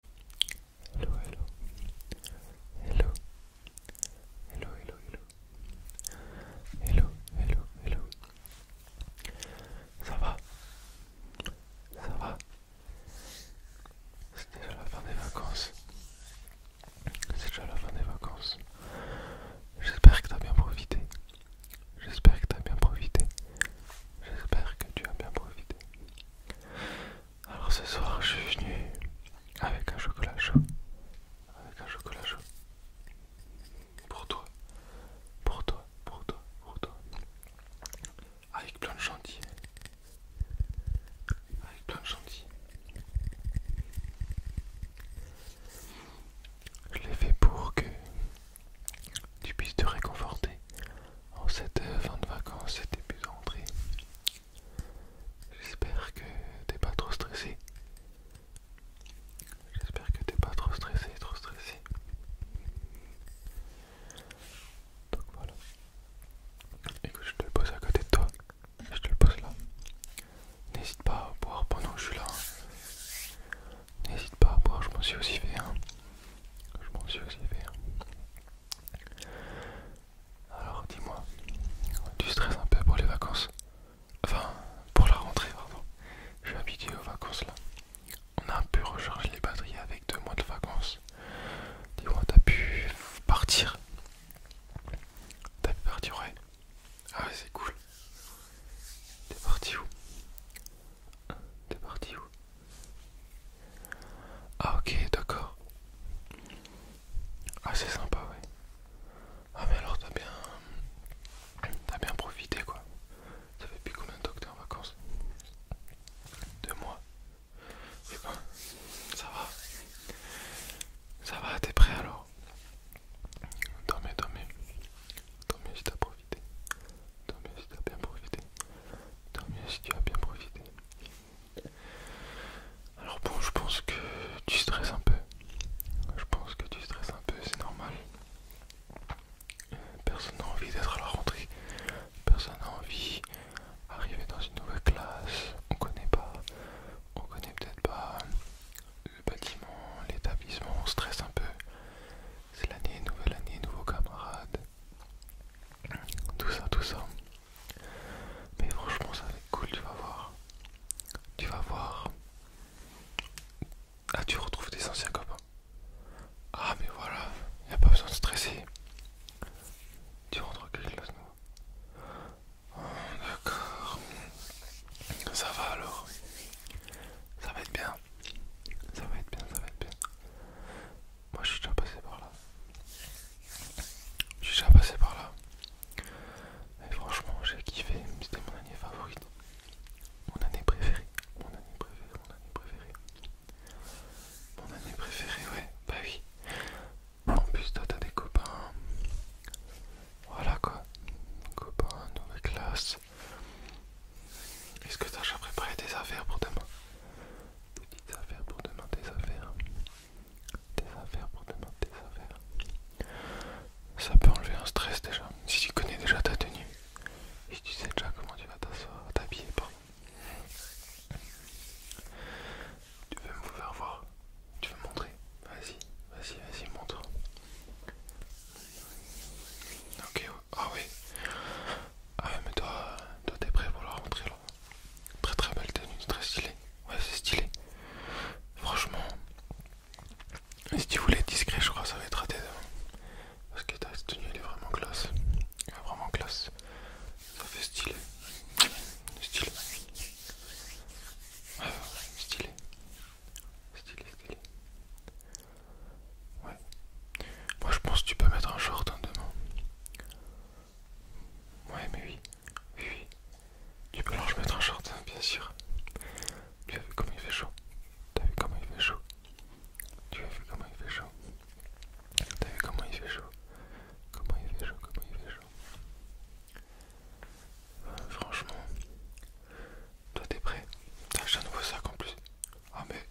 Hello, hello, hello, hello, hello, hello, hello, hello, Ça va, ça va. C'est déjà la fin des vacances. C'est déjà la fin des vacances. J'espère que t'as bien profité. J'espère que t'as bien profité. J'espère que tu as bien profité. Alors ce soir, je suis venu avec un chocolat chaud. Avec un chocolat chaud. Pour toi. Pour toi, pour toi, pour toi. Avec plein de chantilly. Avec plein de chantilly. Je l'ai fait pour que tu puisses te réconforter en oh, cette euh, fin de vacances et début de J'espère que t'es pas trop stressé. J'espère que t'es pas trop stressé, trop stressé. Donc voilà. que je te le pose à côté de toi. Je te le pose là. N'hésite pas à boire pendant que je suis là. Hein. N'hésite pas à boire, je m'en suis aussi fait. Hein. Je m'en suis aussi fait. Hein. Alors dis-moi, tu stresses un peu pour les vacances Enfin, pour la rentrée, pardon. Je suis habitué aux vacances là. On a un peu les batteries avec deux mois de vacances. Dis-moi, t'as pu partir T'as pu partir, ouais. Ah c'est cool. T'es parti où T'es parti où ah ok, d'accord. Ah c'est sympa, ouais. Ah mais alors t'as bien... T'as bien profité, quoi. Ça fait plus combien de temps que t'es en vacances Deux mois. Et eh ben, ça va. Ça va, t'es prêt alors Tant mieux, tant mieux. Tant mieux si t'as profité. Tant si t'as bien profité. Tant si tu as bien profité. Alors bon, je pense que tu stresses un peu. Je pense que tu stresses un peu, c'est normal. Personne n'a envie d'être à la rentrée. Personne n'a envie d'arriver dans une nouvelle classe. On connaît pas. On connaît peut-être pas le bâtiment, l'établissement. On stresse un peu. C'est l'année, nouvelle année, nouveaux camarades. Tout ça, tout ça. Mais franchement, ça va être cool, tu vas voir. Tu vas voir. Ah, tu retrouves des anciens copains. Ah, mais voilà, y a pas besoin de stresser. Tu rentres quelque oh, D'accord. Ça va alors. Ça va être bien. Ça va être bien, ça va être bien. Moi je suis déjà passé par là. Je suis déjà passé par là. Et franchement j'ai kiffé, c'était mon année favorite. Mon année préférée. Mon année préférée, mon année préférée. Mon année préférée, ouais, bah oui. En plus t'as des copains. Voilà quoi. Copains, nouvelle classe. Est-ce que t'as déjà préparé des affaires pour demain petites affaires pour demain, des affaires. des affaires pour demain, des affaires. Ça peut enlever un stress déjà. Si tu connais déjà ta tenue, si tu sais déjà comment tu vas t'asseoir, t'habiller, Tu veux me faire voir Tu veux montrer Vas-y, vas-y, vas-y, montre. Ok, ah oui. Ah mais toi, toi t'es prêt pour la rentrée Très très belle tenue, très stylé Ouais, c'est stylé. Franchement, si tu voulais être discret, je crois que ça va être raté. Parce que ta tenue, elle est vraiment classe. Elle est vraiment classe. Ça fait stylé. Stylé. stylé. Stylé, stylé. Ouais. Moi, je pense que tu peux mettre un short hein, demain. Ouais, mais oui, oui, oui. Tu peux alors je mettre un short, bien sûr. Tu as vu comment il fait chaud T'as vu comment il fait chaud Tu as vu comment il fait chaud T'as vu comment il fait chaud Comment il fait chaud Comment il fait chaud euh, Franchement, toi t'es prêt T'as acheté un nouveau sac en plus. Ah mais,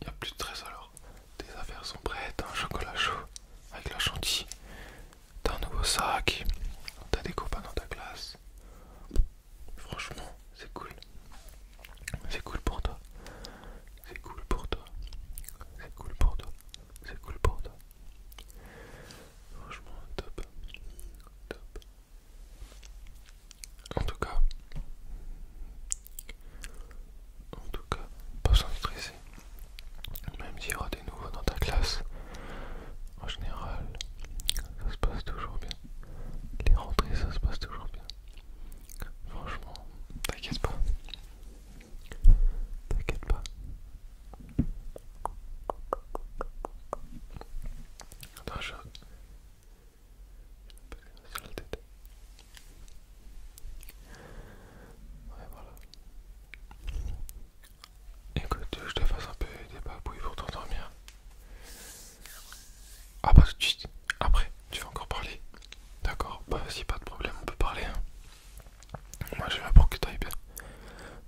il y a plus de 13 alors. Tes affaires sont prêtes, un chocolat chaud avec la chantilly. T'as un nouveau sac, t'as des copains dans ta classe. Franchement, c'est cool. C'est cool pour toi. C'est cool pour toi. C'est cool pour toi. C'est cool pour toi. Franchement, top. Top. En tout cas, en tout cas, pas sans stresser. Même s'il y aura des nouveaux dans ta classe, en général, ça se passe toujours bien. Les rentrées, ça se passe toujours bien. Franchement, t'inquiète pas. T'inquiète pas. Attends, la tête. Ouais, voilà. Écoute, je te fasse un peu des babouilles pour t'endormir. Ah, pas bah, tout de suite. Après, tu veux encore parler D'accord, bah si, pas de problème, on peut parler. Hein. Moi, je vais pour que ailles bien.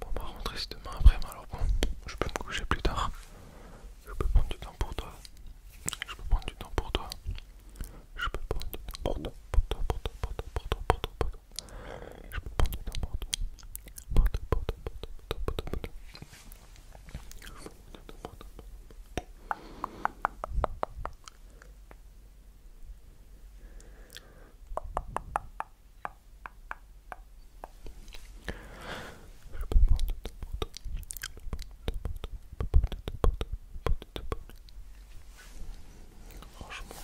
Bon, bah, rentrer, si demain après, mais alors bon, je peux me coucher plus tard. Je peux prendre du temps pour toi. Je peux prendre du temps pour toi. Je peux prendre du n'importe pour de Franchement.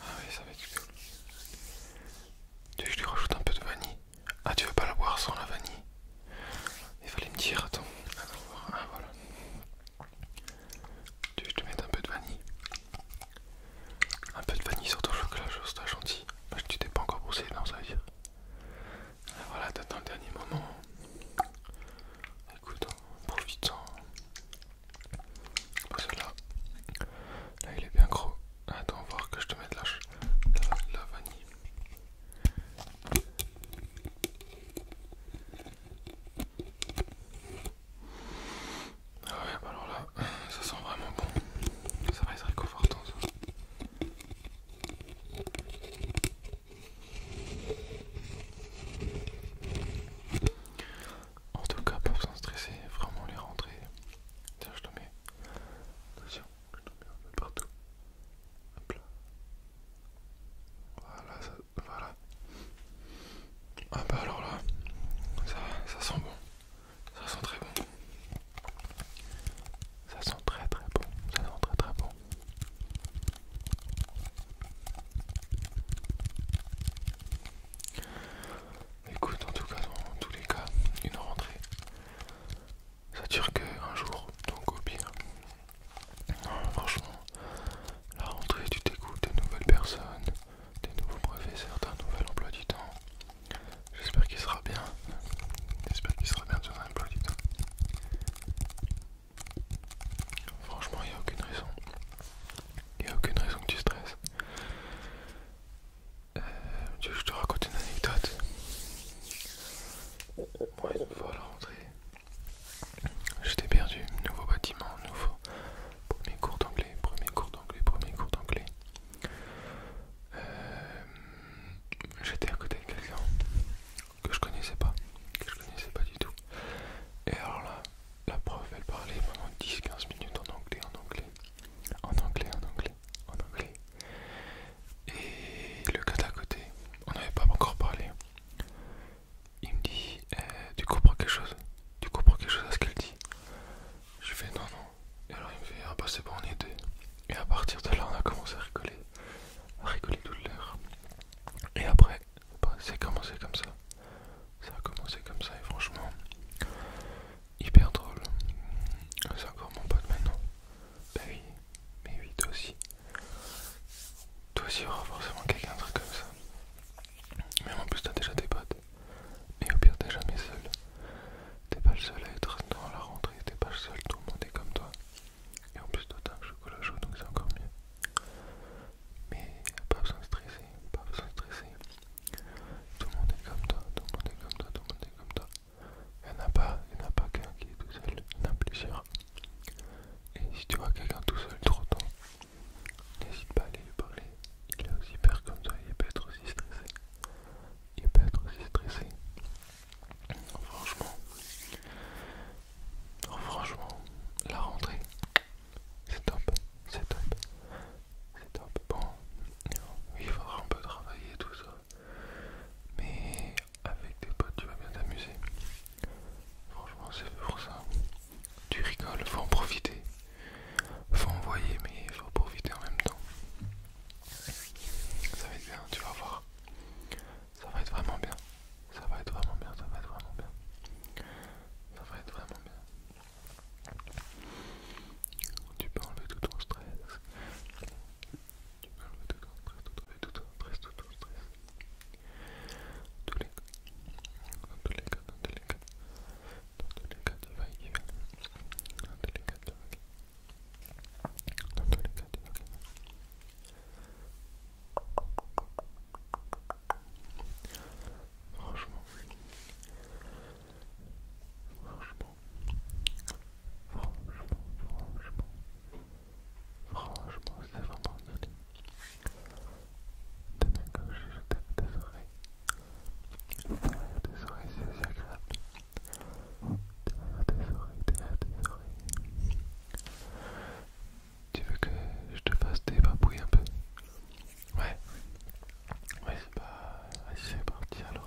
Ah oui, ça va être cool. Tu veux que je lui rajoute un peu de vanille Ah, tu veux pas la boire sans la vanille Il fallait me dire, attends. Ah, ah, voilà. Tu veux que je te mette un peu de vanille Un peu de vanille sur ton chocolat, c'est un gentil. Ah, tu t'es pas encore brossé, non, ça veut dire voilà, t'attends le dernier moment. Écoute, hein, profite-en. Hein. Là. là, il est bien gros. Attends, voir que je te mette la, la, vanille. Ah ouais, bah alors là, ça sent vraiment bon. Ça va être réconfortant ça. En tout cas, pas besoin de stresser, vraiment les rentrer, Tiens, je te mets. Attention, je te mets un peu partout. Hop là. Voilà, ça, voilà. Ah bah alors là, ça, ça sent bon. Ça sent très bon. Ça sent très très bon. Ça sent très très bon. Écoute, en tout cas, dans tous les cas, une rentrée. Ça dure que un jour, donc au pire. Non, franchement, la rentrée, tu t'écoutes de nouvelles personnes, des nouveaux professeurs, d'un nouvel emploi du temps. J'espère qu'il sera bien. J'espère qu'il sera bien de un emploi du temps. Franchement, il n'y a aucune raison. Il n'y a aucune raison que tu stresses. Euh, je te raconte une anecdote Moi, une j'étais perdu. Nouveau bâtiment, nouveau. Premier cours d'anglais, premier cours d'anglais, premier cours d'anglais. Euh, j'étais à côté de quelqu'un que je connaissais pas, que je connaissais pas du tout. Et alors là, la prof elle parlait pendant 10-15 minutes en anglais, en anglais, en anglais, en anglais, en anglais. Et le gars d'à côté, on n'avait pas encore parlé. Il me dit, eh, tu comprends quelque chose Tu comprends quelque chose à ce qu'elle dit Je fais non, non. Et alors il me fait, ah bah c'est bon, on est Et à partir de là, on a commencé à rigoler, à rigoler toute l'heure. Et après, bah, c'est commencé comme ça. Ça a commencé comme ça et franchement, hyper drôle. C'est encore mon pote maintenant. oui, mais oui, toi aussi. Toi aussi, il y aura forcément quelqu'un, de truc comme ça. Mais en plus, t'as déjà des potes. Et au pire, t'es jamais seul. T'es pas le seul à être dans la rentrée, t'es pas le seul, tout le monde est comme toi. Et en plus d'autant que chocolat chaud, donc c'est encore mieux. Mais pas besoin de stresser, pas besoin de stresser. Tout le monde est comme toi, tout le monde est comme toi, tout le monde est comme toi. Il n'y en a pas, il n'y a pas qu'un qui est tout seul, il y en a plusieurs. Et si tu vois quelqu'un tout seul trop tôt, n'hésite pas à aller lui parler. Il est aussi père comme toi, il peut être aussi stressé. Il peut être aussi stressé. Franchement, oh, franchement, la rentrée, c'est top, c'est top, c'est top. Bon, il faudra un peu travailler tout ça, mais avec tes potes, tu vas bien t'amuser. Franchement, c'est pour ça. Tu rigoles, faut en profiter, faut envoyer, mais faut profiter en même temps. Ça va être bien, tu vas voir. Ça va être vraiment bien. Ça va être vraiment bien. Ça va être vraiment bien. Ça va être vraiment bien. Tu peux enlever tout ton stress. Tu peux enlever tout ton stress, tout, ton stress, tout stress. dans tous les y Franchement, franchement, franchement, franchement, franchement, c'est vraiment de T'aimes quand je tape tes oreilles. Derrière des oreilles, c'est agréable. Derrière tes oreilles, derrière des oreilles. Tu veux que je te fasse des babouilles un peu Ouais, ouais, c'est bah, pas. Vas-y, c'est parti alors.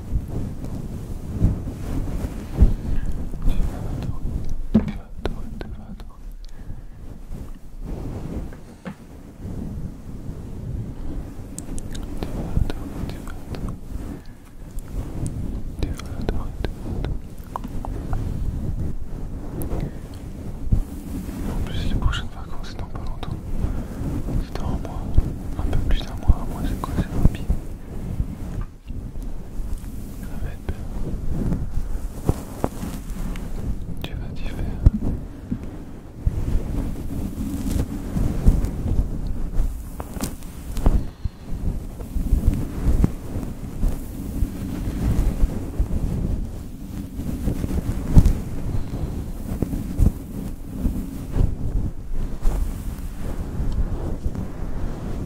Tu vas vas tu vas vas tu vas En plus les prochaines vacances c'est pas longtemps. C'est dans un mois. Un peu plus d'un mois, un mois c'est quoi c'est billet tu vas t'y faire.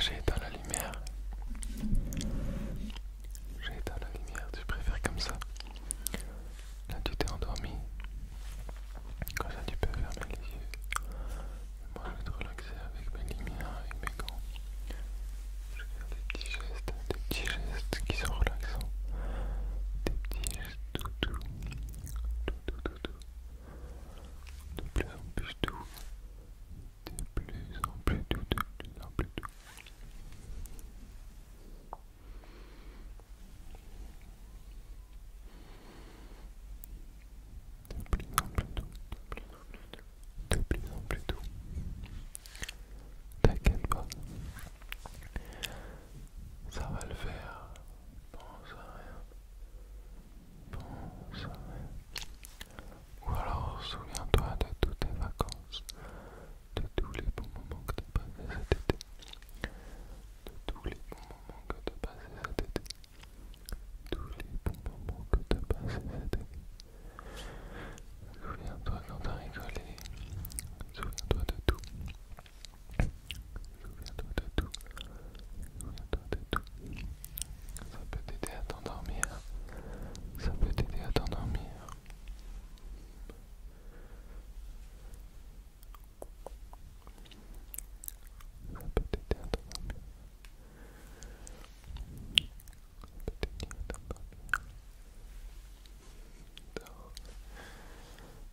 J'ai éteint la lumière. J'ai éteint la lumière, tu préfères comme ça. Là tu t'es endormi. Comme ça tu peux fermer les yeux. Moi je vais te relaxer avec mes lumière, et mes gants. Je vais faire des petits gestes, des petits gestes qui sont relaxants. Des petits tout, plus en plus T'inquiète pas, ça va le faire, Bon, rien. Ou alors souviens-toi de toutes tes vacances, de tous les bons moments que t'as passé cet été. De tous les bons moments que t'as passé cet été. Tous les bons moments que t'as passé cet été. Souviens-toi quand t'as rigolé. Souviens-toi de tout. Souviens-toi de tout. Souviens-toi de tout. Ça peut t'aider à t'endormir. Ça peut t'aider à t'endormir. Ça peut t'aider à t'endormir. Ça peut t'aider à t'endormir. Dors.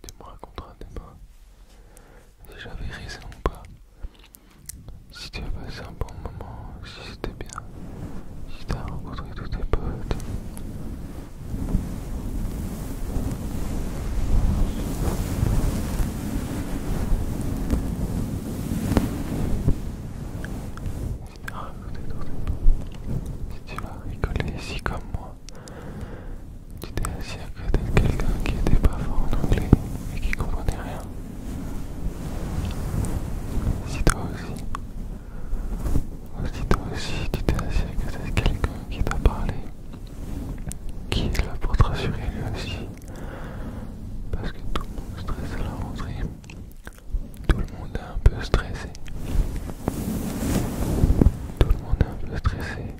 Tu raconteras tes mots, si j'avais raison ou pas, si tu as passé un bon moment, si c'était bien, si tu as rencontré tous tes potes. Si tu as rencontré tous tes potes, si tu vas rigoler ici comme moi, tu t'es assis à côté quelqu'un qui était pas fort en anglais et qui comprenait rien. Si toi aussi, si toi aussi tu t'es assis à côté quelqu'un qui t'a parlé, qui est là pour te rassurer lui aussi, parce que tout le monde stresse à la rentrée, tout le monde est un peu stressé, tout le monde est un peu stressé.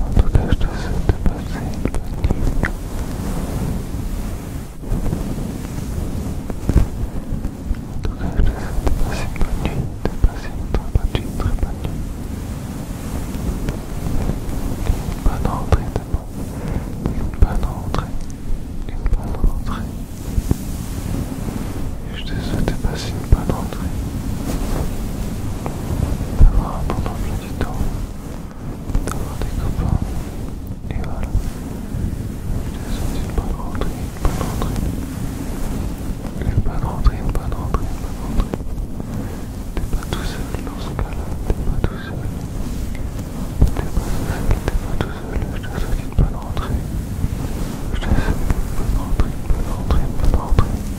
En tout cas, je te souhaite passer une bonne nuit. En tout cas, je te souhaite passer une bonne nuit, de passer une très bonne nuit, très bonne nuit. Une bonne rentrée d'abord. Une bonne entrée. Une bonne rentrée. Je te souhaite passer pas bonne rentrée, d'avoir un bon emploi du temps, d'avoir des copains, et voilà. Je te souhaite une bonne rentrée, une bonne rentrée, une bonne rentrée, une bonne rentrée, une bonne rentrée. T'es pas tout seul dans ce cas-là, t'es pas tout seul. T'es pas tout seul, t'es pas tout seul, je te souhaite une bonne rentrée. Je te souhaite une bonne rentrée, une bonne rentrée, une bonne rentrée.